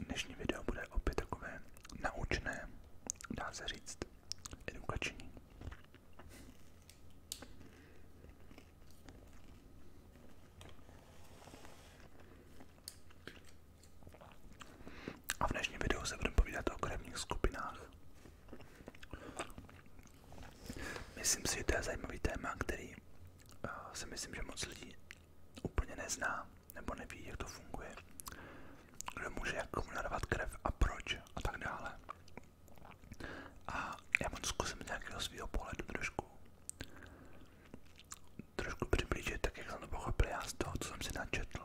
Dnešní video bude opět takové naučné, dá se říct, edukační. A v dnešním videu se budeme povídat o krevních skupinách. Myslím si, že to je zajímavý téma, který uh, si myslím, že moc lidí úplně nezná nebo neví, jak to funguje, kdo může jak komu narvat krev a proč a tak dále. A já vám zkusím z nějakého svého pohledu trošku trošku přiblížit, tak jak jsem to pochopil já z toho, co jsem si načetl.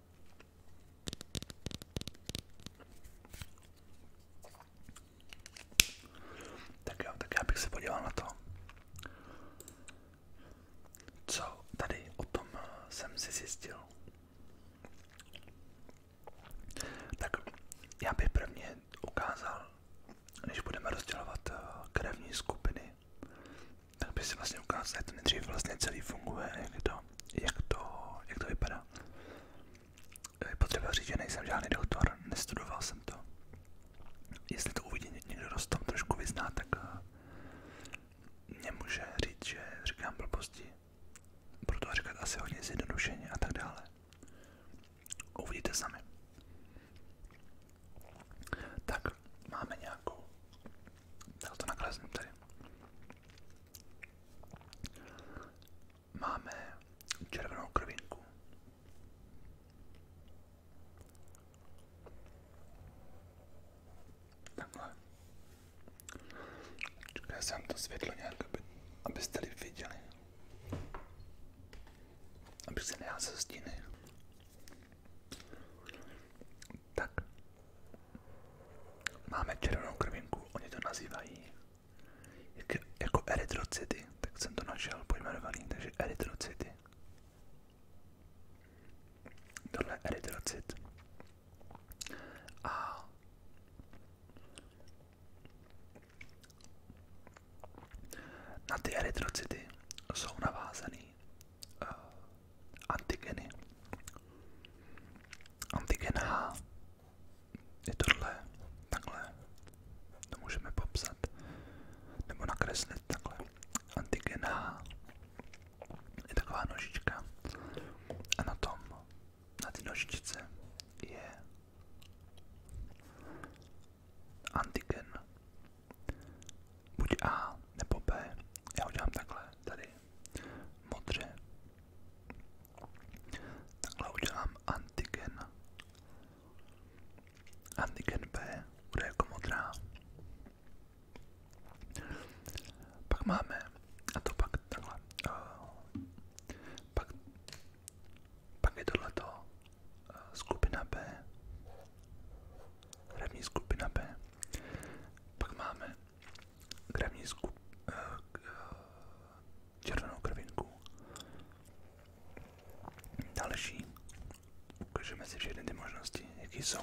Tak jo, tak se podíval na to, co tady o tom eh, jsem zjistil. Tak já bych prvně ukázal, než budeme rozdělovat eh, krevní skupiny, tak bych si vlastně ukázal, jak to nejdřív vlastně celý funguje, jak to a jak to, jak to vypadá. Je potřeba říct, že nejsem žádný doktor, nestudoval jsem to. Jestli to uvidí někdo, kdo tom trošku vyzná, tak eh, mě může říct, že říkám blbosti. Proto říkat asi hodně zjednodušeně a tak dále. Uvidíte sami. Tak, máme nějakou. Tak to naklesnu tady. Máme červenou krvinku. Takhle. Čekaj, jsem to světlo nějak, aby, abyste lidi viděli. Abych se neházel stíny. Tak. Máme červenou krvinku, oni to nazývají jak, jako erytrocity, tak jsem to našel pojmenovaný, takže erytrocity. Tohle je erytrocit. A na ty erytrocity jsou navázaný eh, antigeny. Antigen H je tohle, takhle, to můžeme popsat, nebo nakreslit takhle. Antigen H je taková nožička a na tom, na té nožičce je antigen. Buď A nebo B. Já udělám takhle, tady modře Takhle udělám antigen. Antigen B bude jako modrá. Pak máme, a to pak takhle, uh, pak, pak je tohleto uh, skupina B, hlavní skupina B. Pak máme krevní zku, uh, červenou krvinku. Další. Ukážeme si všechny ty možnosti, jaký jsou.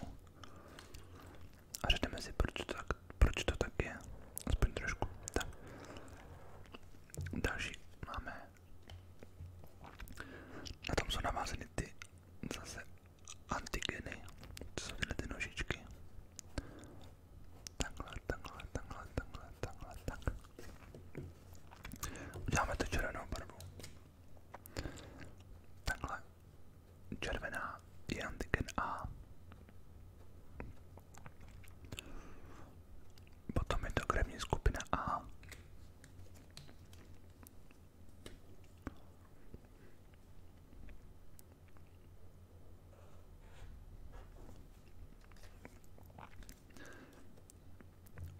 A řekneme si, proč to, tak, proč to tak je. Aspoň trošku. Tak. Další máme. Na tom jsou navázeny ty zase antigeny, to jsou tyhle ty nožičky. Takhle, takhle, takhle, takhle, takhle, tak. Uděláme to červenou barvu. Takhle. Červená je antigen A. Potom je to krevní skupina A.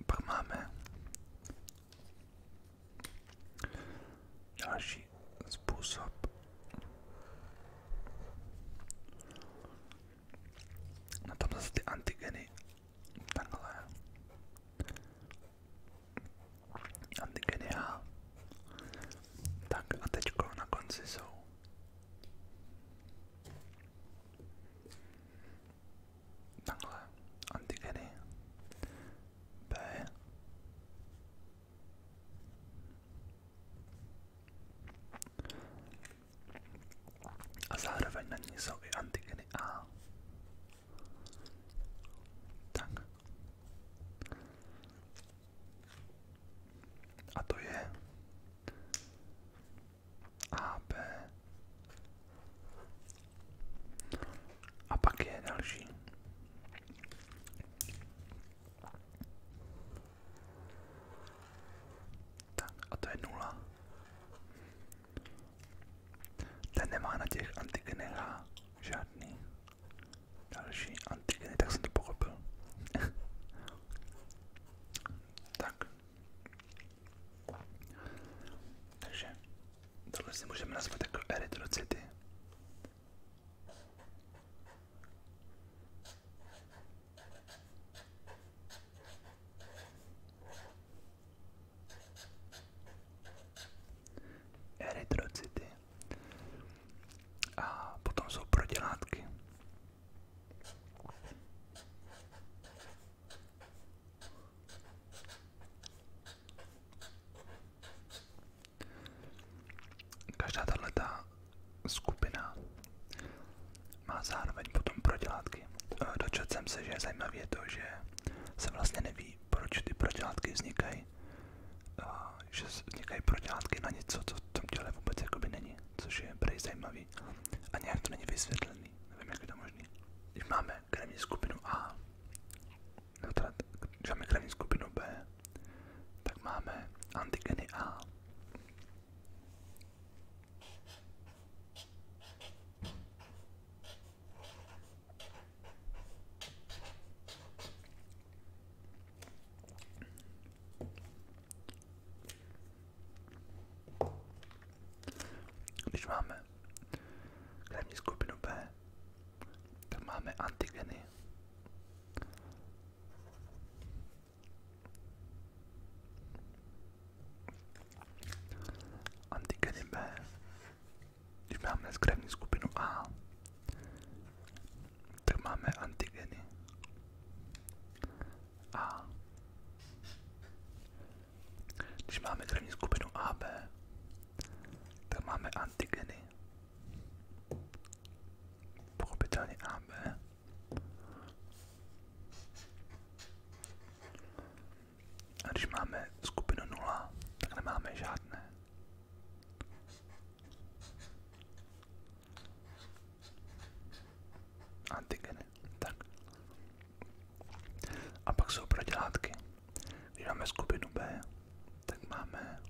Pak máme další způsob. Na no tom zase ty antigeny takhle Antigenia. Tak a teďko na konci jsou. Takhle antigeny B a zároveň na ní jsou i antigeny A. Tak. A to je AB. A pak je další. Tak, a to je nula. Ten nemá na těch antigenech žádný Další antigeny, tak jsem to tak. Takže tohle si můžeme nazvat jako erytrocyty. Erytrocyty. A potom jsou prodělátky. Každá tato skupina má zároveň potom prodělátky. Eh, dočetl se, že zajímavé je to, že se vlastně neví, proč ty prodělátky vznikají jakoby, uh, že vznikají protilátky na něco, co v tom těle vůbec jakoby není, což je prej zajímavý a nějak to není vysvětlený, nevím, jak je to možný. Když máme krevní skupinu A, no teda, když máme krevní skupinu B, tak máme antigeny A. Když máme krevní skupinu B, tak máme antigeny. Antigeny B, když máme z krevní skupinu A, tak máme antigeny. A když máme krevní skupinu AB, tak máme antigeny. Pochopitelně AB. A když máme skupinu 0, tak nemáme žádné. Antigeny, tak. A pak jsou protilátky. Když máme skupinu B, tak máme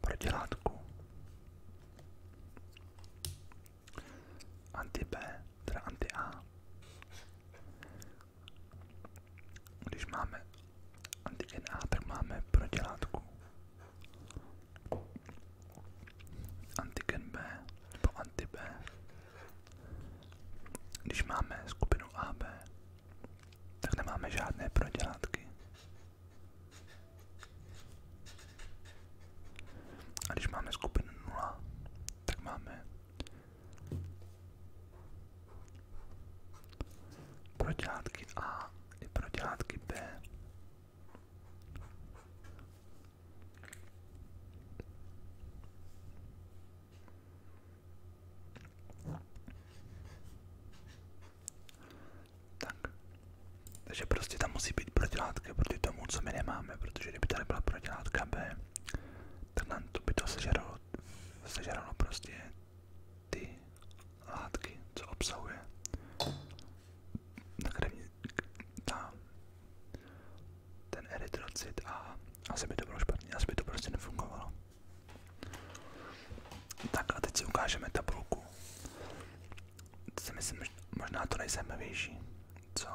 protilátku anti B, teda anti A když máme antigen A, tak máme protilátku. Antigen B nebo anti B. Když máme skupinu AB, tak nemáme žádné protilátky. A když máme skupinu 0, tak máme Protilátky A i protilátky B. Tak. Takže prostě tam musí být protilátka proti tomu, co my nemáme, protože kdyby tady byla protilátka B, Tenhle tu by to sežralo, sežralo prostě ty látky, co obsahuje. Na krevní, ta, ten erytrocit a asi by to bylo špatně, asi by to prostě nefungovalo. Tak a teď si ukážeme tabulku. Teď si myslím, že možná to nejzajímavější co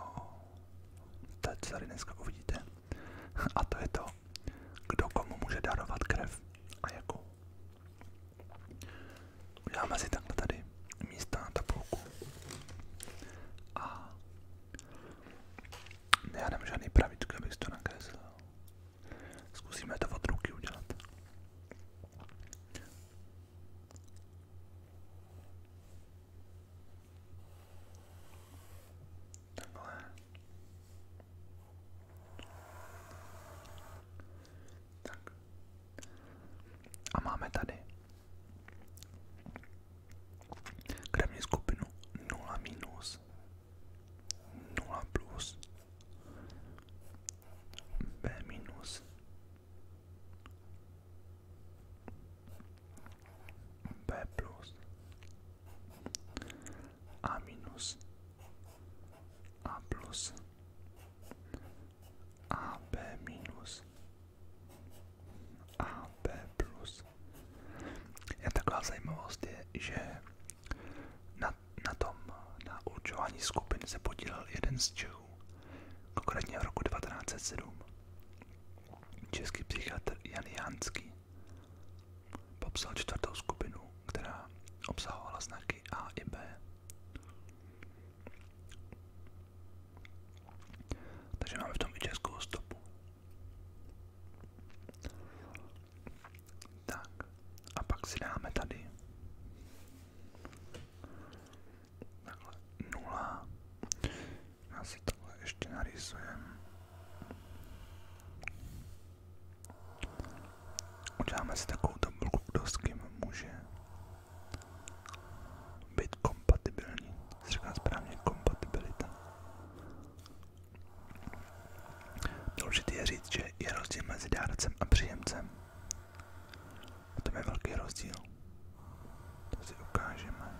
tady dneska uvidíte. A to je to, kdo komu může darovat krev a jakou. Uděláme si takhle tady místa na tabulku. A já nemám žádný pravidlo, abych to nakreslil. Zkusíme to od ruky udělat. Takhle. Tak. A máme tady krevní skupinu 0 minus, 0 plus, B minus, B plus A minus A plus AB minus AB plus Jen taková zajímavost je, že na, na tom, na určování skupin se podílel jeden z Čechů, konkrétně v roku 1907. Český psychiatr Jan Jánský popsal čtvrtou skupinu, která obsahovala znaky A i B. Takže máme v tom i českou stopu. Tak, a pak si dáme tady takhle 0, já si tohle ještě narýsujem. Uděláme si takovou tabulku, kdo s kým může být kompatibilní. Říká správně kompatibilita. Důležité je říct, že je rozdíl mezi dárcem a příjemcem. A to je velký rozdíl. To si ukážeme.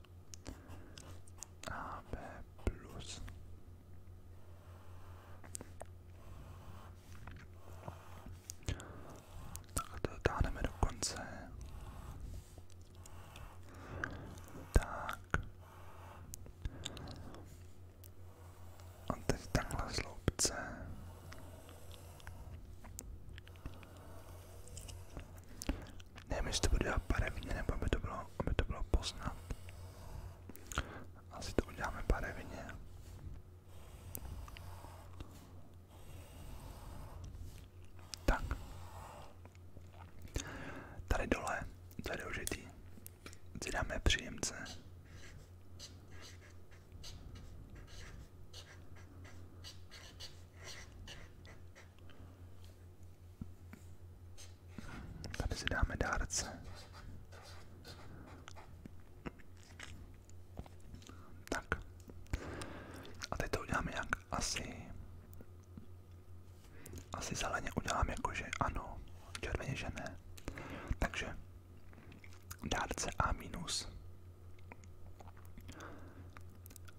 plus AB plus tak to dotáhneme do konce tak a teď takhle sloupce Nevím, jestli to budu dělat barevně, nebo aby to bylo, aby to bylo poznat. Asi to uděláme barevně. Tak. Tady dole, to je důležitý, si dáme příjemce. Tady si dáme dárce. Tak. A teď to uděláme jak asi... Asi zeleně udělám jako, že ano, červeně, že ne. Takže dárce A-. minus.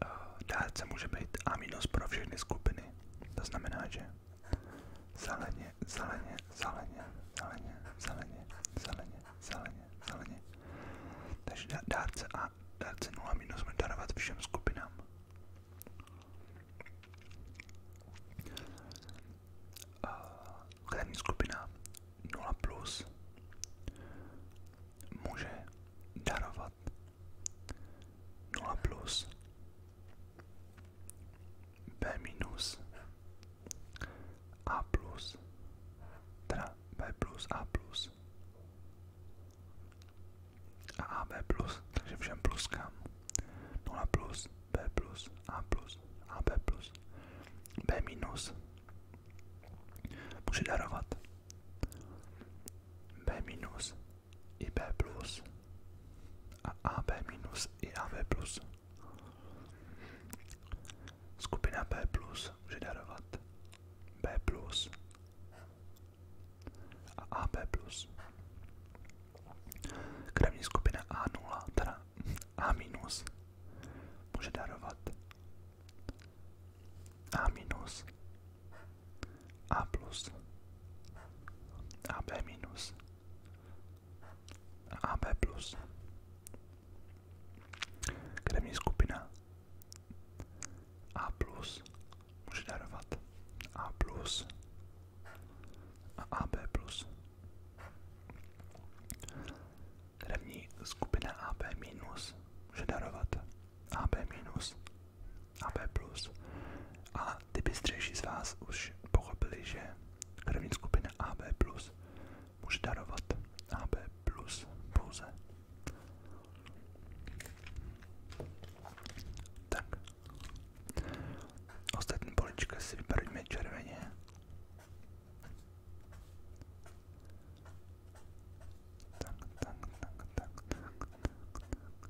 Eh, dárce může být A- minus pro všechny skupiny. To znamená, že zeleně, zeleně, zeleně, zeleně, zeleně, zeleně, zeleně, zeleně. Takže dát se a dát se 0 minus darovat všem skupinám. Krevní eh, skupina 0 plus může darovat 0 plus b minus a plus teda b plus a plus a a b plus, takže všem pluskám 0 plus b plus a plus a b plus b minus může darovat b minus i B plus a AB minus i AB plus. Skupina B plus může darovat B plus a AB plus. Krevní skupina A0, teda A minus, může darovat A minus a plus, AB minus a AB plus. Krevní skupina A plus může darovat A plus a AB plus. Krevní skupina AB minus může darovat AB minus a B+. A ty bystřejší z vás už pochopili, že krevní skupina AB+, může darovat AB+, pouze. Tak. Ostatní polička si vybarvíme červeně. Tak, tak, tak, tak, tak, tak, tak, tak,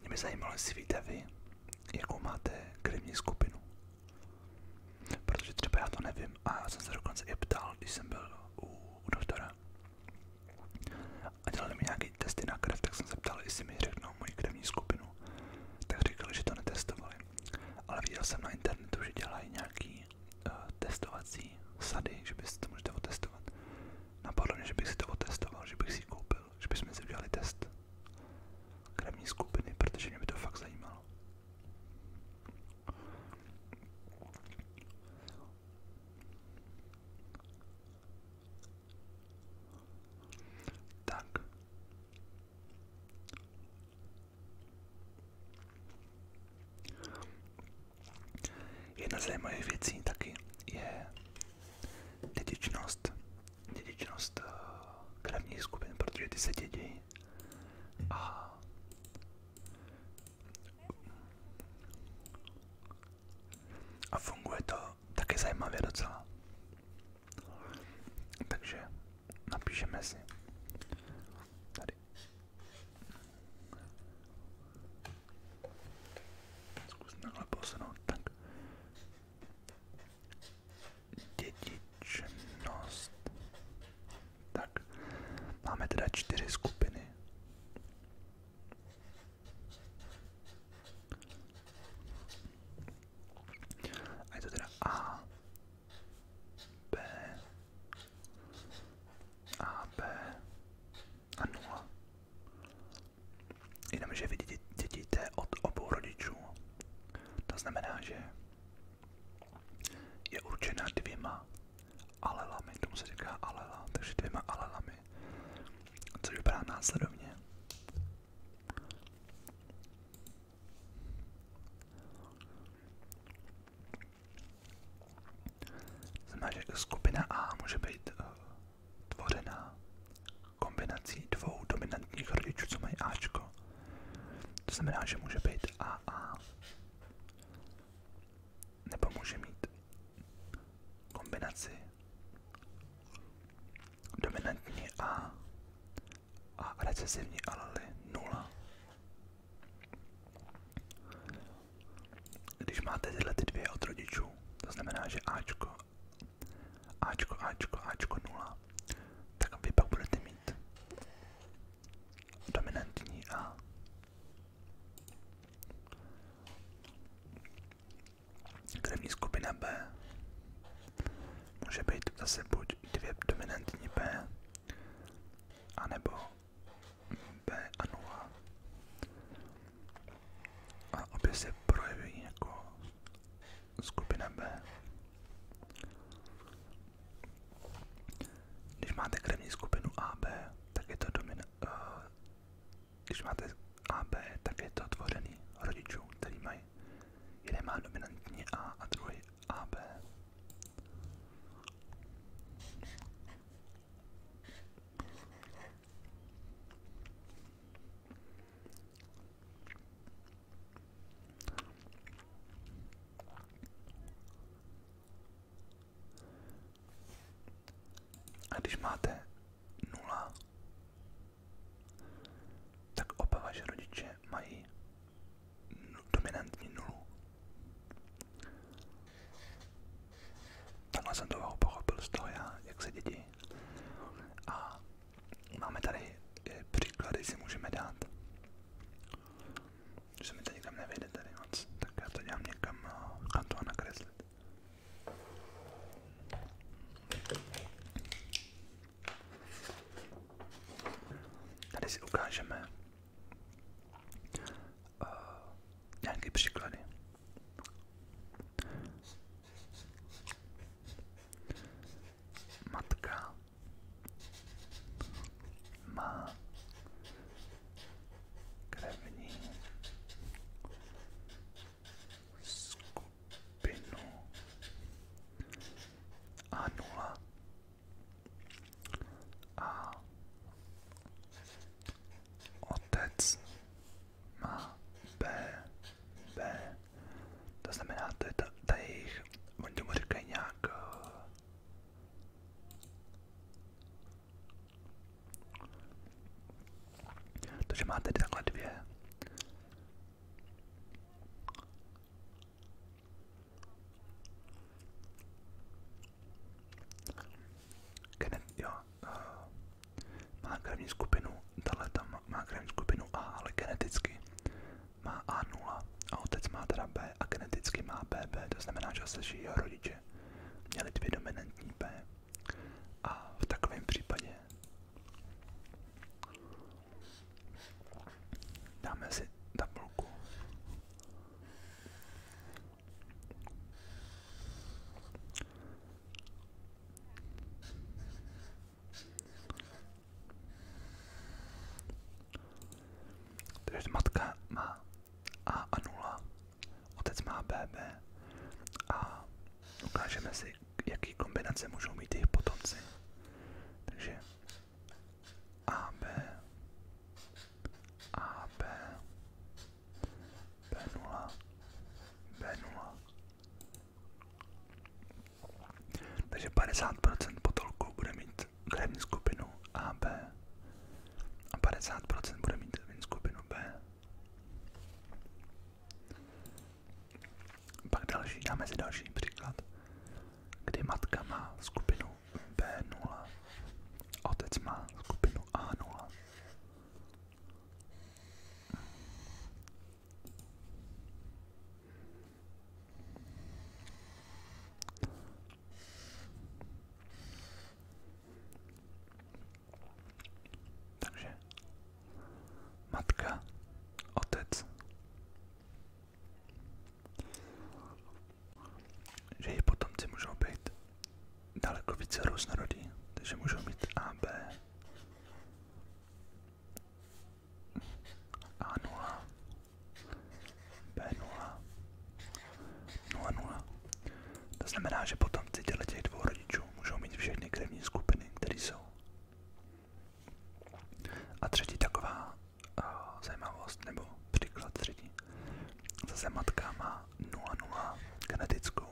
Mě by zajímalo, jestli víte vy, jakou máte krevní skupinu. Protože třeba já to nevím a já jsem se dokonce i ptal, když jsem byl u, u doktora a dělali mi nějaké testy na krev, tak jsem se ptal, jestli mi řeknou moji krevní skupinu. Tak říkali, že to netestovali. Ale viděl jsem na internetu, že dělají nějaké uh, eh, testovací sady, že by to můžete otestovat. Napadlo mě, že bych si to otestoval, že bych si ji koupil, že bychom si udělali test krevní skupiny, protože mě by to fakt zajímalo. Tak. Jedna z zajímavých věcí taky je dědičnost, dědičnost eh, krevních skupin, protože ty se dědí a a funguje to taky zajímavě docela. Takže napíšeme si tady. Zkus takhle posunout, tak. Dědičnost. Tak, máme teda čtyři skupiny. A je to teda A, B, A, B a 0. Jenomže vy dědíte od obou rodičů. To znamená, že je určena dvěma alelami, tomu se říká alela, takže dvěma alelami, což vypadá následovně. Znamená, že skupina A může být eh, tvořená kombinací dvou dominantních rodičů, co mají Ačko. To znamená, že může být AA. Nebo může mít kombinaci dominantní A a recesivní alely 0. Když máte tyhle ty dvě od rodičů, to znamená, že Ačko, Ačko, Ačko, Ačko 0, tak vy pak budete mít dominantní A. Krevní skupina B může být zase buď dvě dominantní B, anebo B a 0. A obě se projeví jako skupina B. Když máte krevní skupinu AB, tak je to domina... Uh, eh, když máte AB, tak je to tvořený rodičů, který mají jeden má dominantní A a druhý AB. A když máte nula, tak oba vaše rodiče mají dominantní nulu. Takhle jsem toho pochopil z toho já, jak se děti. A máme tady eh, příklady, si můžeme dát. Že se mi to nikam nevejde tady moc, tak já to dělám někam, eh, kam to nakreslit. Tady si ukážeme uh, příklady. Matka má krevní skupinu A0 a otec má B, B. To znamená, to je ta, ta jejich, oni tomu říkají nějak... Eh, takže máte takhle dvě. Genet, jo, uh, má krevní skupinu, tahle tam má krevní skupinu A, ale geneticky má A0 a otec má teda B a geneticky má BB, to znamená, že se jeho rodiče měli dvě dominantní B. A v takovém případě dáme si tabulku takže matka má A a 0, otec má BB a ukážeme si, jaký kombinace můžou mít jejich potomci. Takže AB, AB, B0, B0. Takže 50% potolku bude mít krevní skupinu AB a 50% bude mít krevní skupinu B. Pak další, dáme si další příklad, kdy matka má skupinu B0, otec má skupinu A0. Takže matka, otec, že její potomci můžou být daleko více různorodý, takže můžou mít A, B, A0, B0, 00. To znamená, že potom potomci těch dvou rodičů můžou mít všechny krevní skupiny, které jsou. A třetí taková uh, zajímavost, nebo příklad třetí. Zase matka má 00 genetickou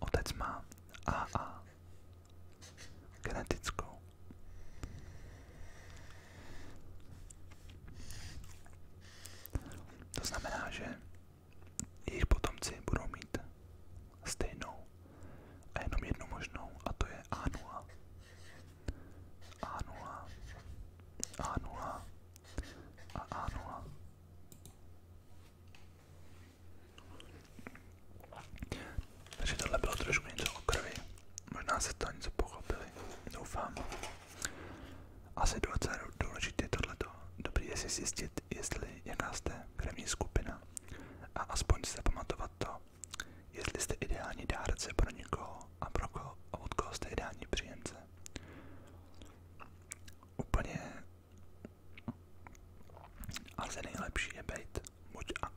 Otec má AA, genetickou. To znamená, že jejich potomci budou mít stejnou a jenom jednu možnou, a to je A0. A0, A0, a A0. Takže tohle bylo trošku něco o krvi. Možná se to něco pochopili, doufám. Asi docela důležité tohleto. Dobrý je si zjistit, jestli jaká jste krevní skupina a aspoň se pamatovat to, jestli jste ideální dárce pro někoho a pro koho a od koho jste ideální příjemce úplně asi nejlepší je být buď a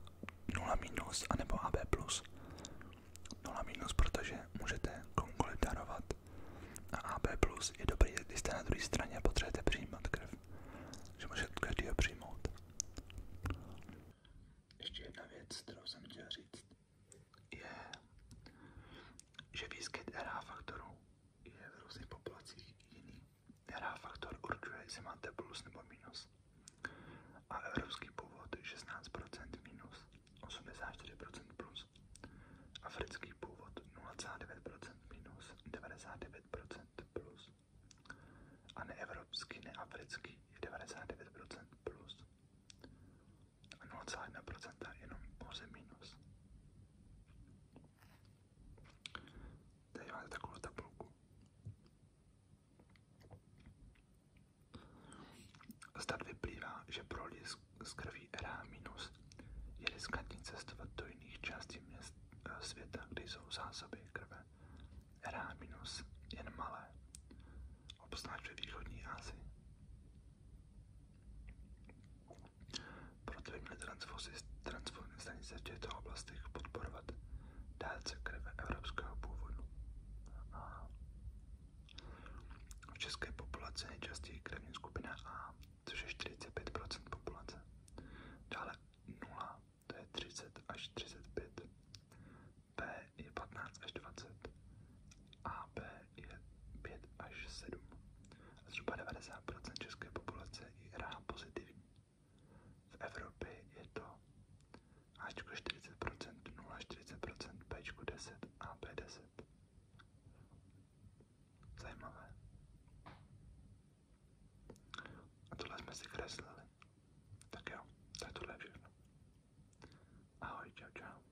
0 minus, anebo AB plus. 0 minus, protože můžete komukoliv darovat a AB plus je dobrý, když jste na druhé straně a potřebujete přijímat krev. Že můžete každýho přijmout. Ještě jedna věc, kterou jsem chtěl říct je, že výskyt RH faktoru je v různých populacích jiný. RH faktor určuje, jestli máte plus nebo minus. A evropský původ 16% minus, 84% plus. Africký původ 0,9% minus, 99% plus. A neevropský, neafrický je 99% plus a 0,1% jenom pouze minus. Tady máte takovou tabulku. Zdat vyplývá, že pro lidi z krví RA minus je riskantní cestovat do jiných částí měst, eh, světa, kde jsou zásoby krve. RA minus jen malé, obzvlášť ve východní Asii. Proto by měly transfuzní stanice v těchto oblastech podporovat dárce krve evropského původu. A v české populaci nejčastěji krevní skupina A, což je 45% populace. Dále 0, to je 30 až 35. B je 15 až 20. AB je 5 až 7 a zhruba 90% české populace je RH pozitivní. V Evropě je to Ačko 40%, 0 40%, Bčko 10, AB 10. Zajímavé. A tohle jsme si kreslili. Tak jo, tak tohle je všechno. Ahoj, čau, čau.